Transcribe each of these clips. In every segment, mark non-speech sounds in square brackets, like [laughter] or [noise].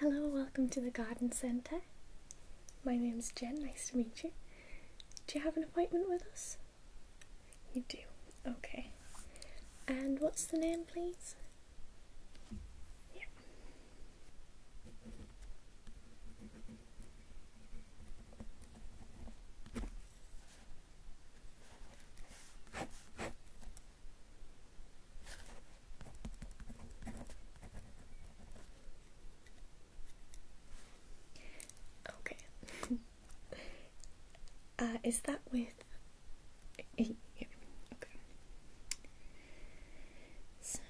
Hello, welcome to the Garden Centre. My name is Jen, nice to meet you. Do you have an appointment with us? You do, okay. And what's the name, please? Okay. [laughs] uh, is that with? Eh, yeah. Okay. So,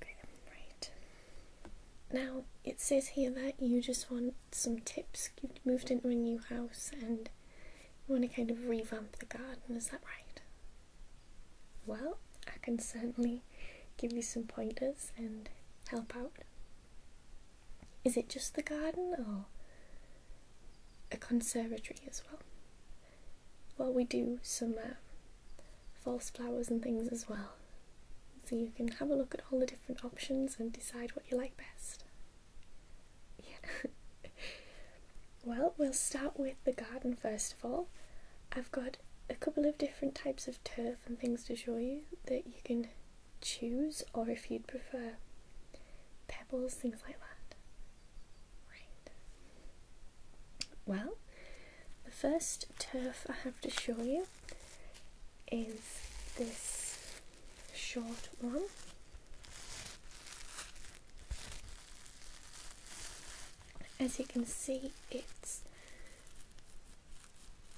okay. Right. Now it says here that you just want some tips. You've moved into a new house and you want to kind of revamp the garden, is that right? Well, I can certainly give you some pointers and help out. Is it just the garden or a conservatory as well? Well, we do some uh, false flowers and things as well, so you can have a look at all the different options and decide what you like best. [laughs] well, we'll start with the garden first of all. I've got a couple of different types of turf and things to show you that you can choose, or if you'd prefer, pebbles, things like that. Right. Well, the first turf I have to show you is this short one as you can see it's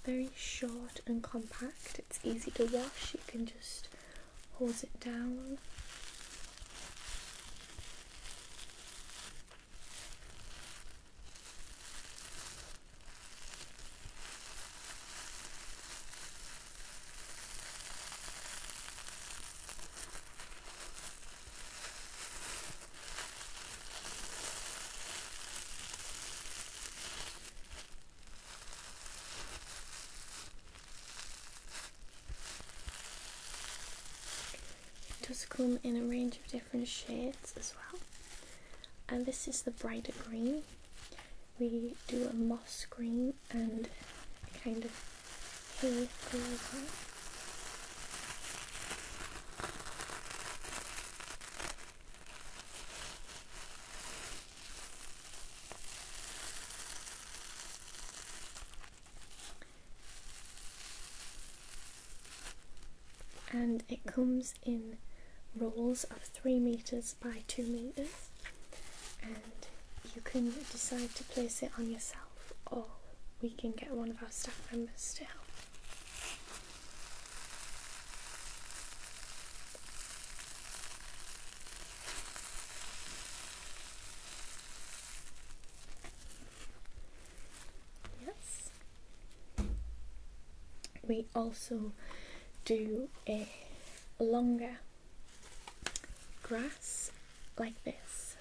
very short and compact it's easy to wash you can just hold it down does come in a range of different shades as well. And this is the brighter green. We do a moss green and kind of hay green as and it comes in rolls of 3 meters by 2 meters and you can decide to place it on yourself or we can get one of our staff members to help Yes, we also do a longer grass like this.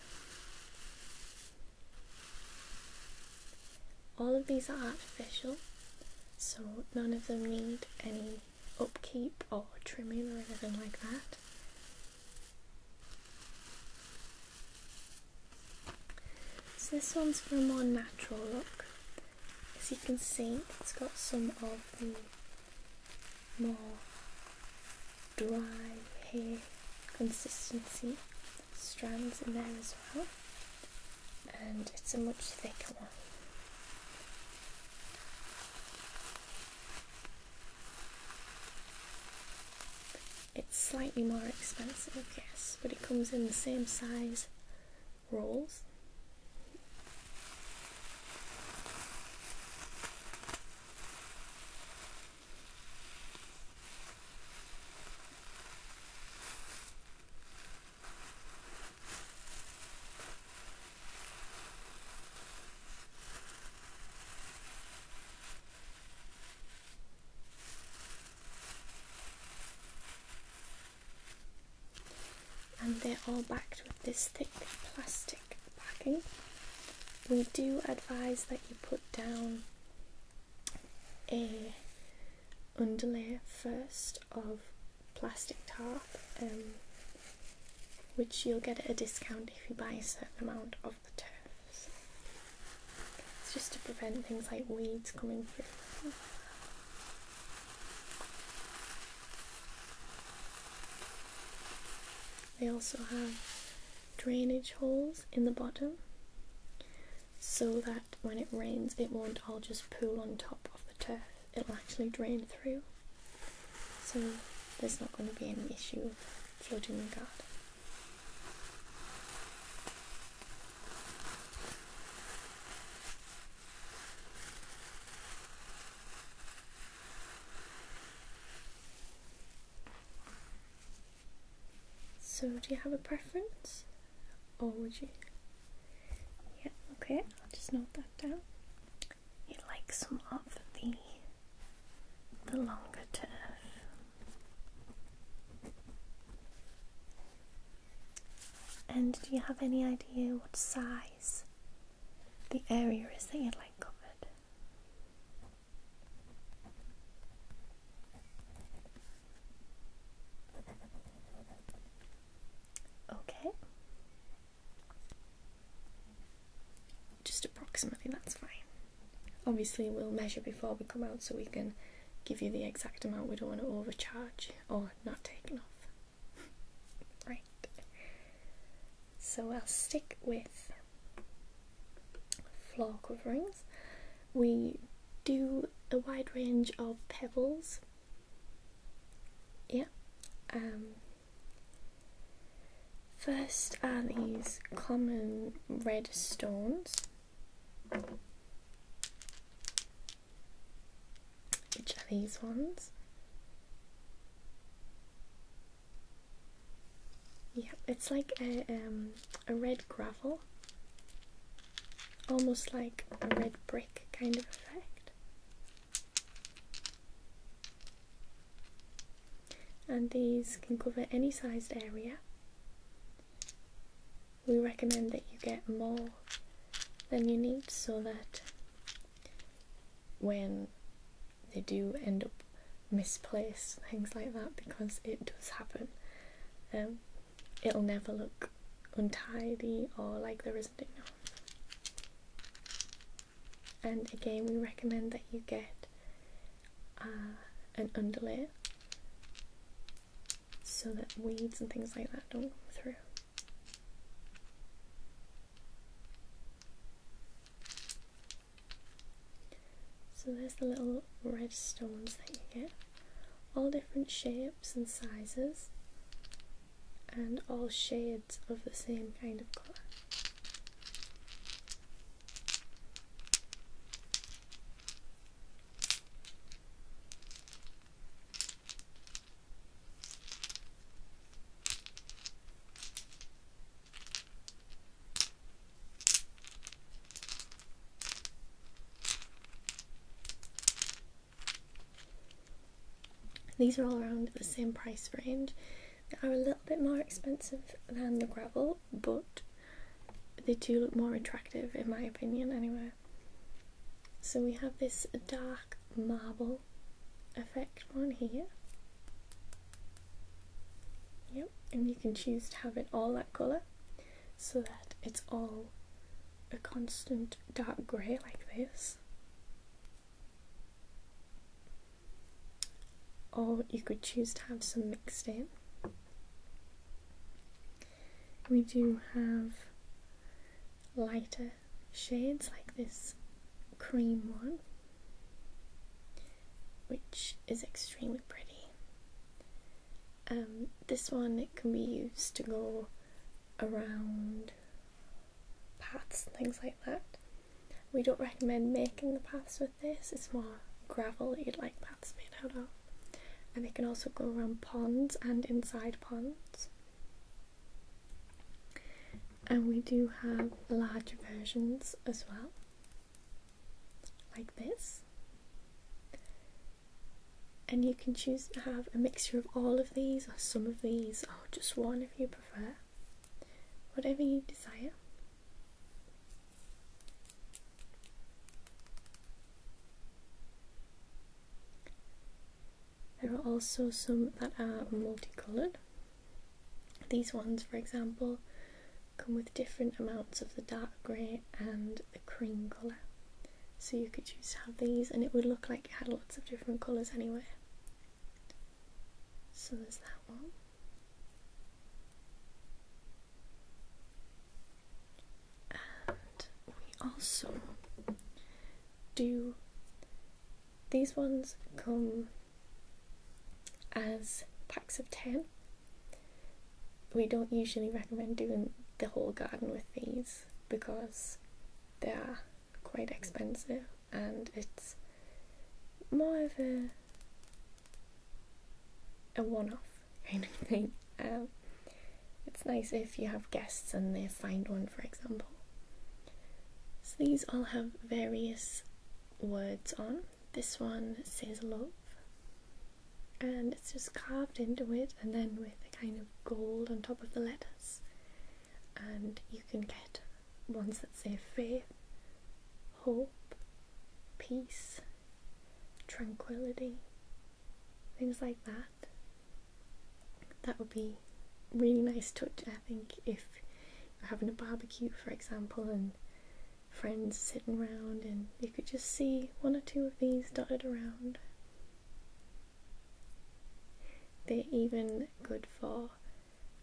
All of these are artificial, so none of them need any upkeep or trimming or anything like that. So this one's for a more natural look. As you can see, it's got some of the more dry hair consistency strands in there as well. And it's a much thicker one. It's slightly more expensive, yes, but it comes in the same size these rolls and they're all backed with this thick plastic backing. We do advise that you put down a underlay first of plastic tarp, um, which you'll get at a discount if you buy a certain amount of the turfs. It's just to prevent things like weeds coming through. They also have drainage holes in the bottom so that when it rains it won't all just pool on top of the turf, it'll actually drain through. So there's not going to be any issue of flooding the garden. So, do you have a preference? Or would you? Yeah, okay, I'll just note that down. you like some of the, the longer turf, and do you have any idea what size the area is that you'd like covered? Okay. Just approximately, that's fine. Obviously, we'll measure before we come out so we can give you the exact amount. We don't want to overcharge or not taken off, [laughs] right. So I'll stick with floor coverings. We do a wide range of pebbles. Yeah. Um, first are these common red stones. Which are these ones? Yeah, it's like a, um, a red gravel, almost like a red brick kind of effect. And these can cover any sized area we recommend that you get more than you need so that when they do end up misplaced, things like that, because it does happen, um, it'll never look untidy or like there isn't enough. And again, we recommend that you get uh, an underlay so that weeds and things like that don't go through. So there's the little red stones that you get, all different shapes and sizes, and all shades of the same kind of colour. These are all around the same price range. They are a little bit more expensive than the gravel, but they do look more attractive in my opinion, anyway. So we have this dark marble effect on here. Yep, and you can choose to have it all that colour so that it's all a constant dark grey like this. Or you could choose to have some mixed in. We do have lighter shades like this cream one, which is extremely pretty. Um, this one it can be used to go around paths things like that. We don't recommend making the paths with this. is more gravelly, like paths made out of. And they can also go around ponds and inside ponds. And we do have larger versions as well, like this. And you can choose to have a mixture of all of these, or some of these, or just one if you prefer. Whatever you desire. There are also some that are multicoloured. These ones, for example, come with different amounts of the dark grey and the cream colour. So you could choose to have these and it would look like it had lots of different colours anyway. So there's that one we also do these ones come as packs of 10. We don't usually recommend doing the whole garden with these because they are quite expensive and it's more of a a one off kind of thing. Um, it's nice if you have guests and they find one, for example. So these all have various words on. This one says love, and it's just carved into it, and then with a kind of gold on top of the letters. And you can get ones that say faith, hope, peace, tranquility, things like that. That would be really nice touch, I think, if you're having a barbecue, for example, and friends sitting around, and you could just see one or two of these dotted around. They're even good for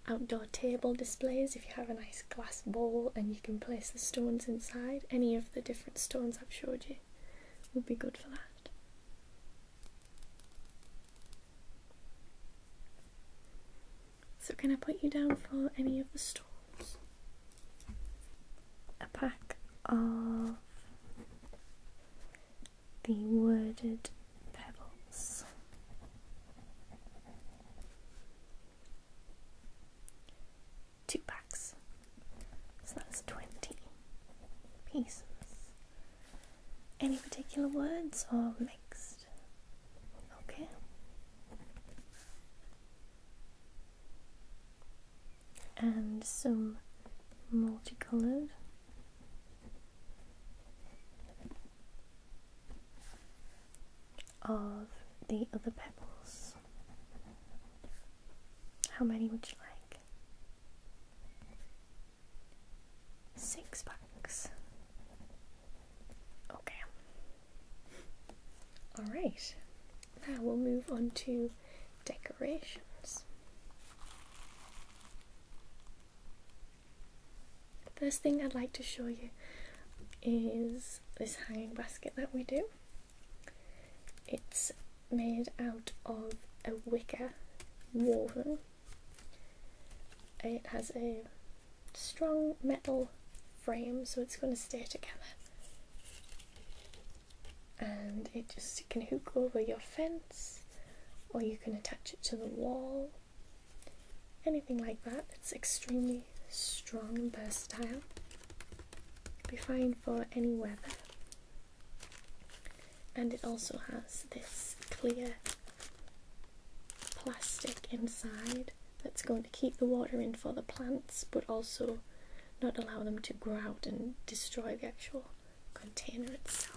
outdoor table displays if you have a nice glass bowl and you can place the stones inside. Any of the different stones I've showed you would be good for that. So, can I put you down for any of the stones? A pack of the worded pebbles two packs. So that's 20 pieces. Any particular words or mixed? Okay. And some multicolored of the other pebbles. How many would you like? Six packs. Okay. Alright, now we'll move on to decorations. First thing I'd like to show you is this hanging basket that we do. It's made out of a wicker woven. It has a strong metal frame so it's going to stay together. And it just you can hook over your fence or you can attach it to the wall anything like that its extremely strong and versatile. It'll be fine for any weather. And it also has this clear plastic inside that's going to keep the water in for the plants but also not allow them to grow out and destroy the actual container itself.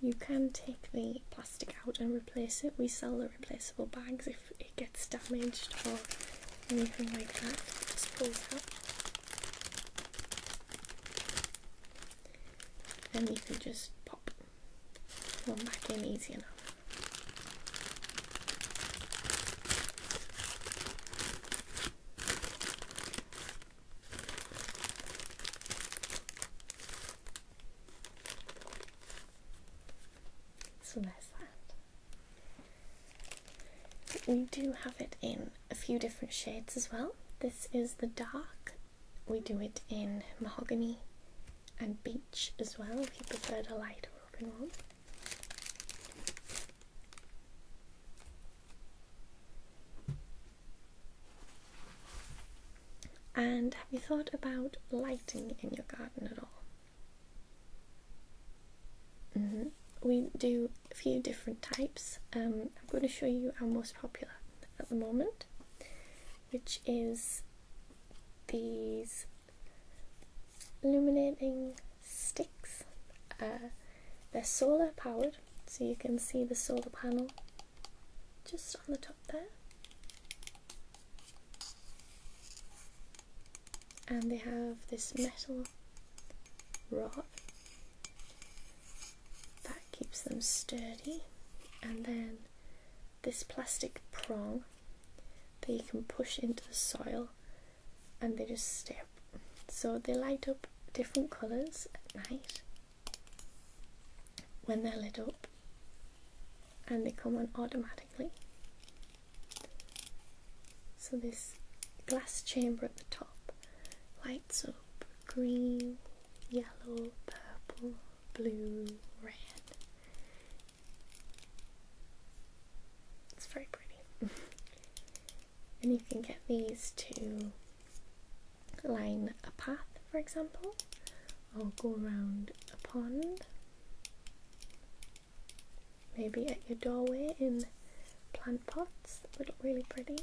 You can take the plastic out and replace it. We sell the replaceable bags if it gets damaged or anything like that. Just pull it out. Then you can just pop it back in easy enough. So there's that. We do have it in a few different shades as well. This is the dark. We do it in mahogany and beech as well if you prefer a lighter open one. And have you thought about lighting in your garden at all? Mm-hmm. We do a few different types. Um, I'm going to show you our most popular at the moment, which is these illuminating sticks. Uh, they're solar powered, so you can see the solar panel just on the top there. And they have this metal rod that keeps them sturdy, and then this plastic prong that you can push into the soil and they just stay up. So they light up different colours at night when they're lit up and they come on automatically. So this glass chamber at the top lights up green, yellow, purple, blue, red. It's very pretty. [laughs] and you can get these too line a path, for example, or go around a pond, maybe at your doorway in plant pots would look really pretty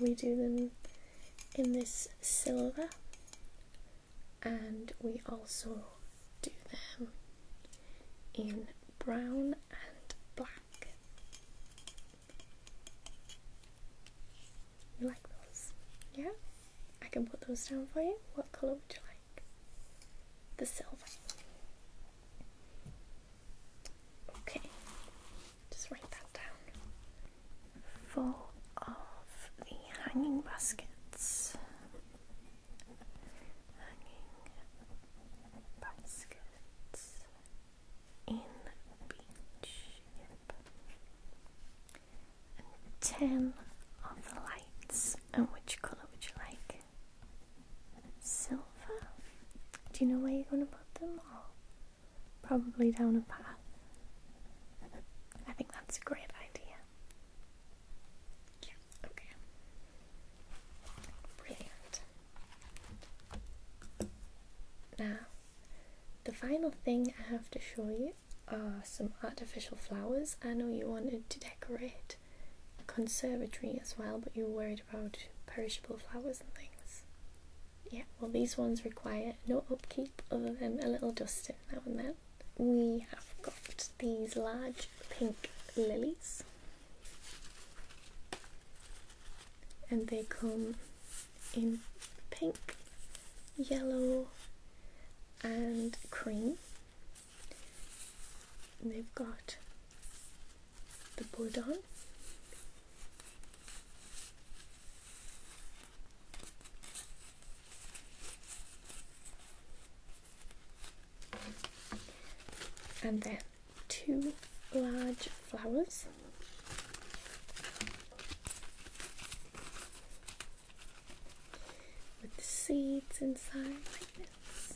we do them in this silver and we also do them in brown and black. You like those? Yeah? I can put those down for you. What colour would you like? The silver. Okay, just write that down. Full of the hanging baskets. Hanging baskets in beach. And ten of the lights. And which colour would you like? Silver. Do you know where you're going to put them? all? probably down a path. I think that's a great idea. Yeah, okay. Brilliant. Now, the final thing I have to show you are some artificial flowers. I know you wanted to decorate the conservatory as well, but you were worried about perishable flowers and things yeah, well, these ones require no upkeep other than a little dusting now and then. We have got these large pink lilies, and they come in pink, yellow, and cream. And they've got the bud on, and then two large flowers with the seeds inside like this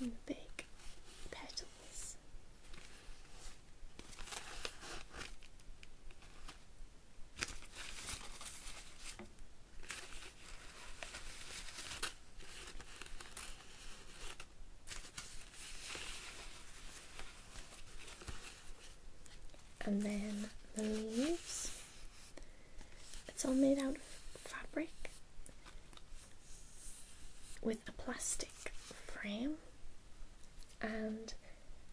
in big petals and then the leaves. It's all made out of fabric with a plastic frame, and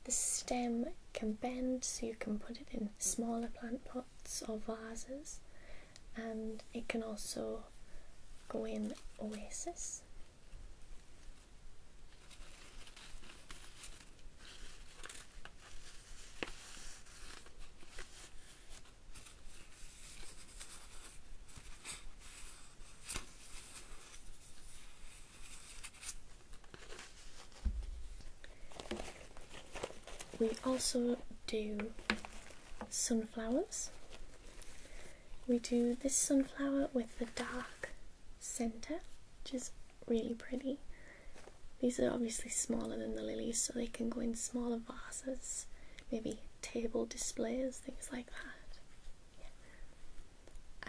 the stem can bend so you can put it in smaller plant pots or vases, and it can also go in oasis. We also do sunflowers. We do this sunflower with the dark centre, which is really pretty. These are obviously smaller than the lilies, so they can go in smaller vases, maybe table displays, things like that.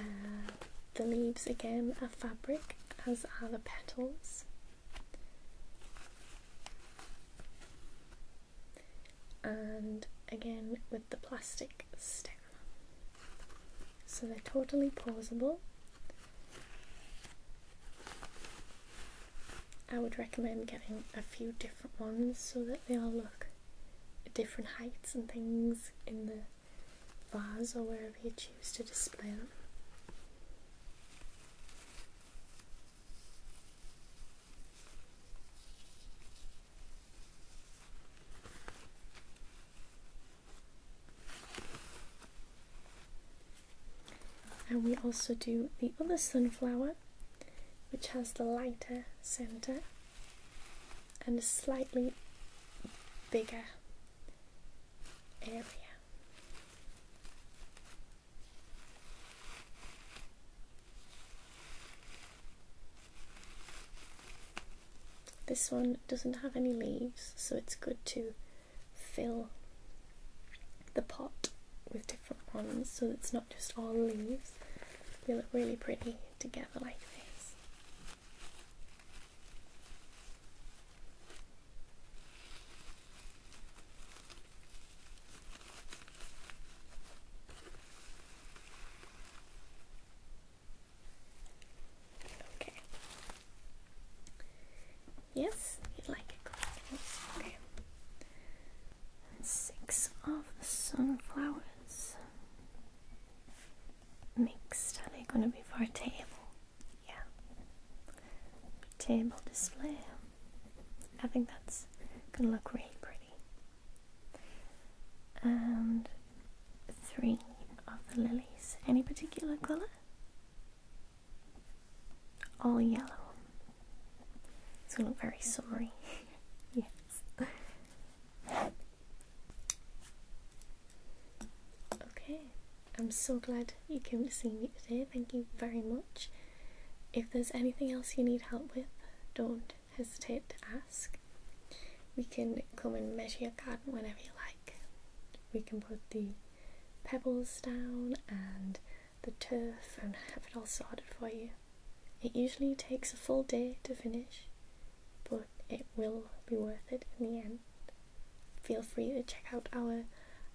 Uh, the leaves again are fabric, as are the petals. And again with the plastic stem. So they're totally pausable. I would recommend getting a few different ones so that they all look at different heights and things in the vase or wherever you choose to display them. And we also do the other sunflower, which has the lighter centre and a slightly bigger area. This one doesn't have any leaves, so it's good to fill the pot with different ones so it's not just all leaves. They look really pretty together like this. Okay. Yes, you like it. Yes. Okay. Six of the sunflowers. Mixed. Are they going to be for a table? Yeah. Table display. I think that's going to look really pretty. And three of the lilies. Any particular colour? All yellow. It's going to look very summery. [laughs] yes. okay. I'm so glad you came to see me today. Thank you very much. If there's anything else you need help with, don't hesitate to ask. We can come and measure your garden whenever you like. We can put the pebbles down and the turf and have it all sorted for you. It usually takes a full day to finish, but it will be worth it in the end. Feel free to check out our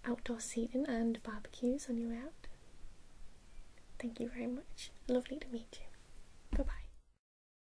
outdoor seating and barbecues on your way out. Thank you very much. Lovely to meet you. Bye bye.